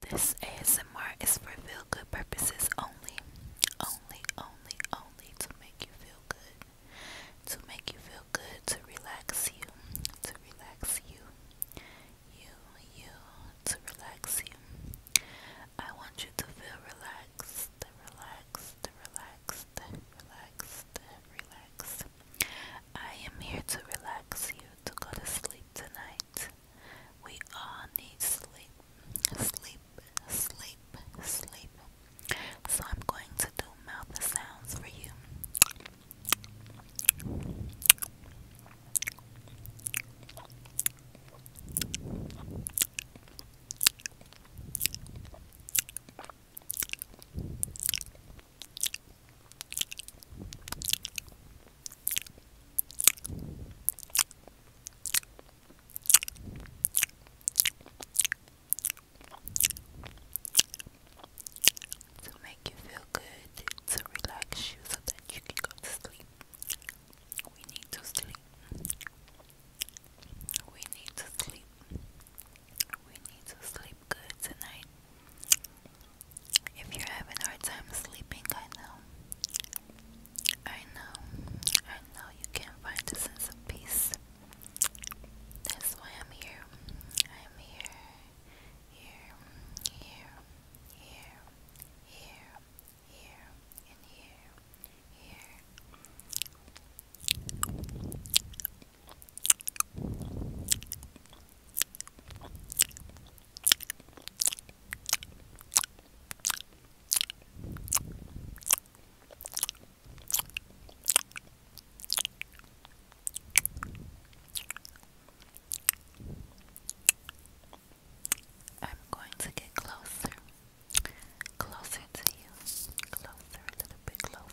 This ASMR is for feel good purposes only. Only, only, only to make you feel good. To make you feel good, to relax you, to relax you. You, you, to relax you. I want you to feel relaxed, relaxed, relaxed, relaxed, relaxed. I am here to relax you to go to sleep tonight. We all need sleep, sleep, sleep, sleep. So I'm going to do mouth sounds for you. To make you feel good, to relax you so that you can go to sleep. We need to sleep. We need to sleep. We need to sleep good tonight. If you're having a hard time sleeping, I know. I know. I know you can't find a sense of peace. That's why I'm here. I'm here. Here. Here. Here. Here. Here. And here. Here. I'm going to get closer, closer to you, closer, a little bit closer.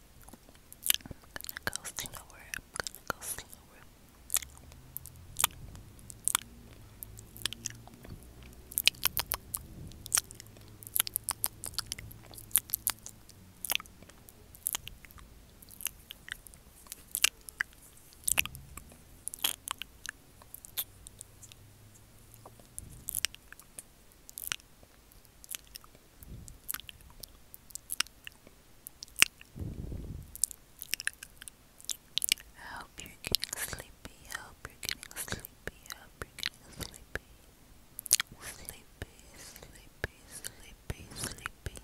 I'm gonna go slower. I'm gonna go slower. I you getting sleepy. I you getting sleepy. I you getting sleepy. Sleepy, sleepy, sleepy, sleepy.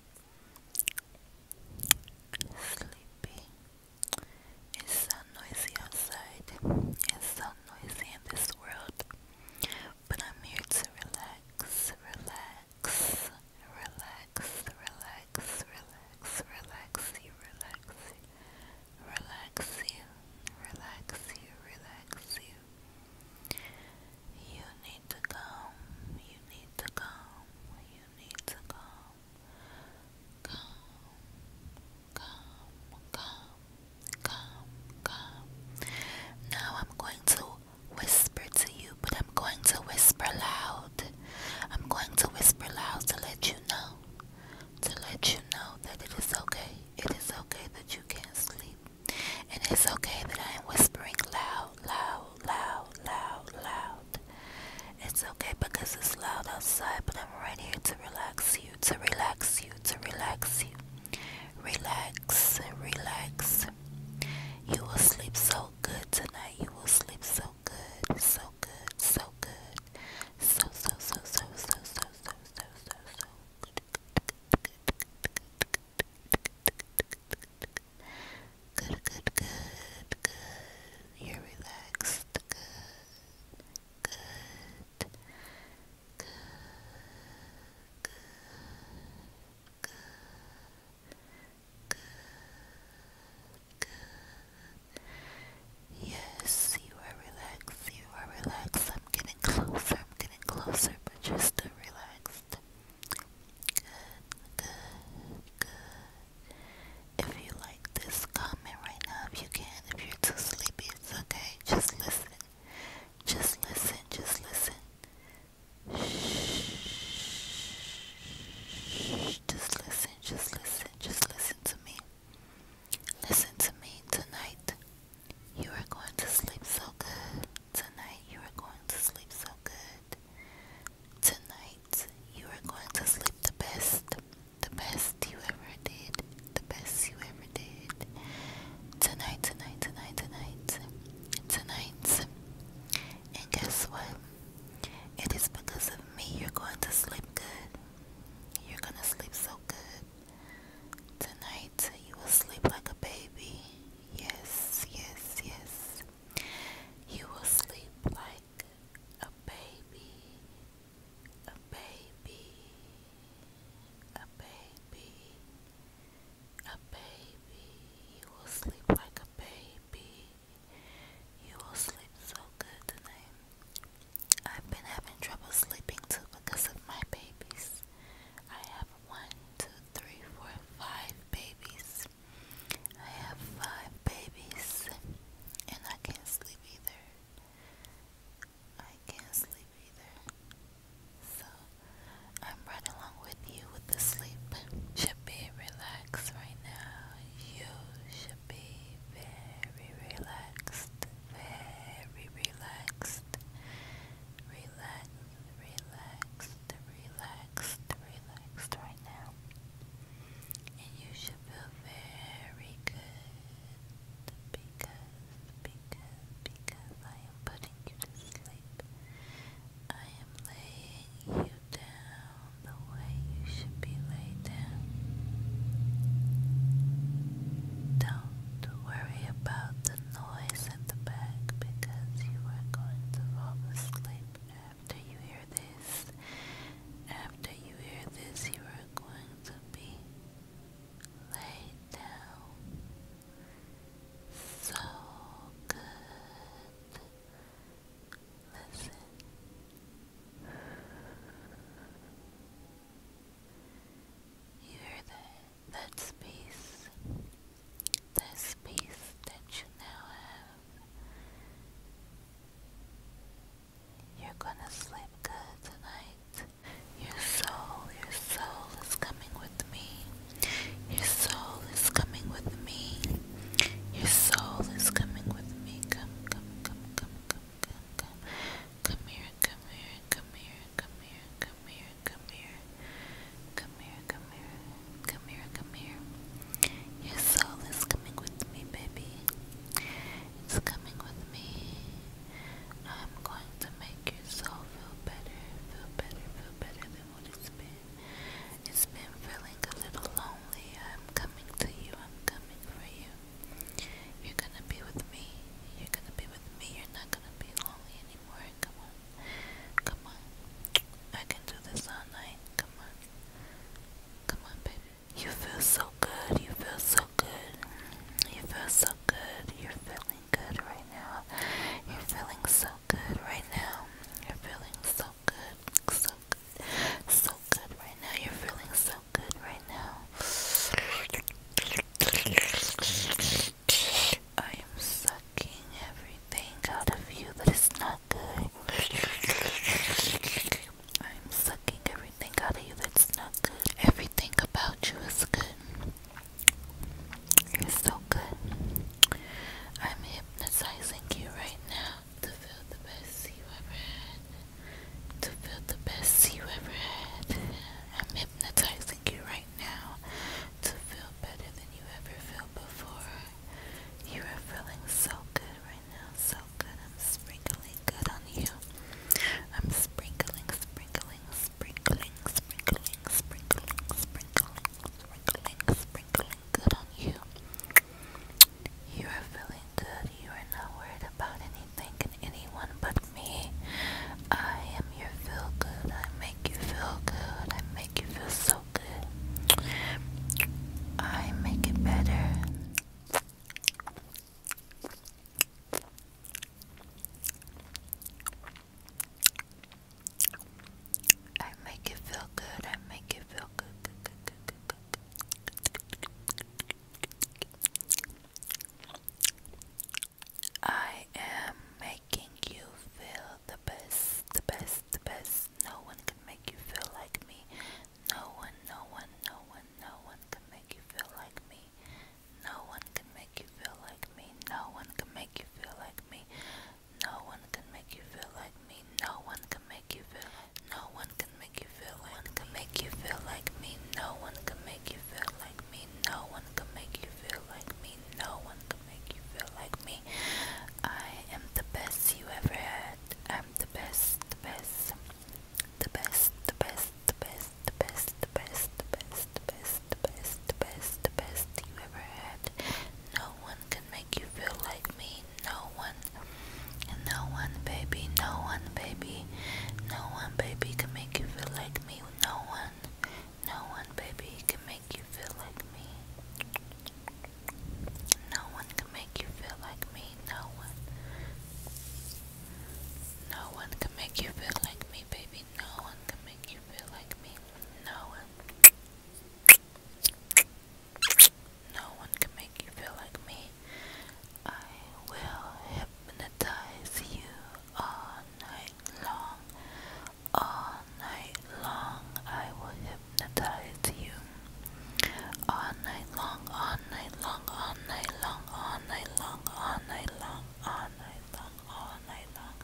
Sleepy. It's so noisy outside. It's so noisy in this world. But I'm here to relax, relax, relax, relax, relax, relax you, relax you, relax you, relax you, relax you. You need to calm, you need to calm, you need to calm. Calm, calm, calm, calm, calm. Now I'm going to whisper to you, but I'm going to whisper loud. I'm going to whisper loud to let you know, to let you know that it is okay. It is okay that you can't sleep. And it's okay that I am whispering loud, loud, loud, loud, loud. It's okay because it's loud outside, but I'm right here to relax you, to relax you, to relax you. Relax, relax. You will sleep so good tonight. You will sleep so good, so good, so good. So, so, so, so, so, so, so, so, so, so good. Good, good, good, good. You're relaxed. Good. Good. Yes, you are relaxed. You are relaxed. I'm getting closer. I'm getting closer, but you're still relaxed. Good, good, good. If you like this, comment right now if you can. If you're too sleepy, it's okay. Just listen. Just listen, just listen. Shh. Just listen, just listen, just listen to me. Listen to me tonight. You are going to sleep so good. Tonight you are going to sleep so good. Tonight you are going to sleep the best. The best you ever did. The best you ever did. Tonight, tonight, tonight, tonight, tonight. And guess what? It is because of me you're going to sleep good. You're going to sleep so good. Tonight you will sleep like a baby. Yes, yes, yes. You will sleep like a baby. A baby. A baby. A baby, you will sleep like a baby. You will sleep so good tonight. I've been having trouble sleeping too because of my babies. I have one, two, three, four, five babies. I have five babies and I can't sleep either. I can't sleep either. So I'm right along with you with the sleep. Should be relaxed right now. You should be very relaxed. Very relaxed. Relax, relaxed, relaxed, relaxed right now. And you should feel very good because because, because I am putting you to sleep. I am laying you down the way you should be laid down. Don't worry about the noise at the back because you are going to fall asleep after you hear this. After you hear this, you are going to be laid down so good. Listen. You hear that? That space. That space that you now have. You're gonna sleep good tonight. Your soul, your soul is coming with me. Your soul is coming with me. Your soul is coming with me. Come, come, come, come, come, come, come. Come here, come here, come here, come here, come here, come here. Come here, come here, come here, come here. Your soul is coming with me, baby. It's coming with me. I'm going to make your soul feel better, feel better, feel better, it's been feeling a little lonely. I'm coming to you. I'm coming for you. You're gonna be with me. You're gonna be with me. You're not gonna be lonely anymore. Come on. Come on. I can do this all night. Come on. Come on, baby. You feel so good. You feel so good. You feel so good. You're feeling good right now. You're feeling so good right now. You're feeling so good, so good, so good right now. You're feeling so good right now. I am sucking everything out of you that is not good. I'm sucking everything out of you that's not good. Everything about you is good. You're so good. I'm hypnotizing you right now to feel the best you ever had. To feel the best you ever had. I'm hypnotizing you right now to feel better than you ever felt before. You are feeling so good right now, so good. I'm sprinkling good on you. I'm sprinkling, sprinkling, sprinkling, sprinkling, sprinkling, sprinkling, sprinkling, sprinkling good on you. You are feeling good. You are not worried about anything and anyone but me. I am your feel good. I make you feel good. I make you feel so good. I make it better. I make it feel good. I make it feel good. I am making you feel the best, the best, the best. No one can make you feel like me. No one, no one, no one, no one can make you feel like me. No one can make you feel like like me. No one can make you feel like me. No one can make you feel like me. No one can make you feel. No one can make you feel like. Can make you feel like me. No one can make you feel like me. No one can make you feel like me. No one can make you feel like me. I am the best you ever had. I'm the best, the best, the best, the best, the best, the best, the best, the best, the best, best, best, best, best you ever had. No one can make you feel like me. No one, no one, baby, no one, baby, no one, baby, can make you feel like me. No one, no one, baby, can make you feel like me. No one can make you feel like me. No one. No one can make you feel like me, baby. No one can make you feel like me. No no one can make you feel like me. I will hypnotize you all night long. All night long, I will hypnotize you. All night long, all night long, all night long, all night long, all night long, all night long all night long.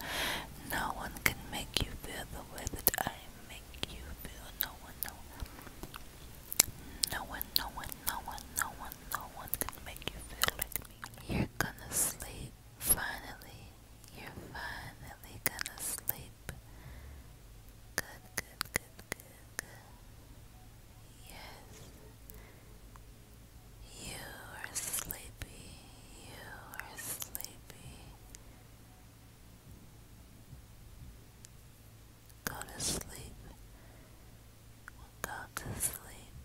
No one can make you feel the way that I make you feel. No one, no one. No one, no one, no one, no one, can make you feel like me. You're gonna sleep, finally. You're finally gonna sleep. Good, good, good, good, good. Yes. You are sleepy. You are sleepy. Go to sleep. Go to sleep.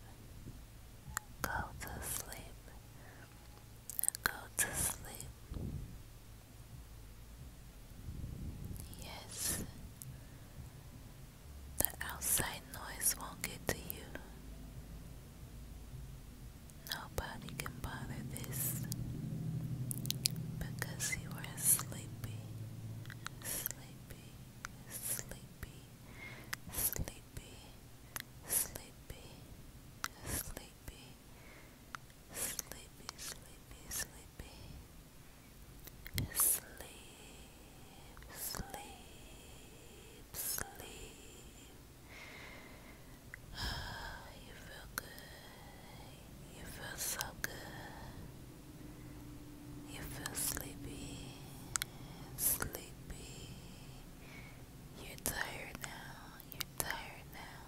Go to sleep. Go to sleep. Yes. The outside noise won't get to you. Nobody can bother this because you are sleepy, sleepy, sleepy, sleepy, sleepy, sleepy, sleepy, sleepy, sleepy. Sleep, sleep, sleep, you feel good. You feel so good. You feel sleepy. Sleepy. You're tired now. You're tired now.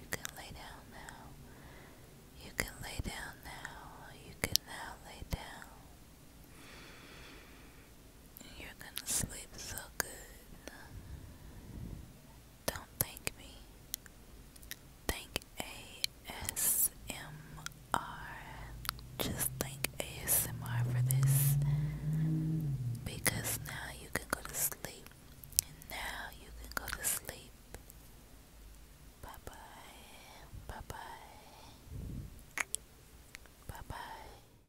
You can lay down now. You can lay down now. You can now lay down. You're gonna sleep so good. Don't thank me. Thank ASMR. Just thank ASMR for this. Because now you can go to sleep. And now you can go to sleep. Bye bye. Bye bye. Bye bye.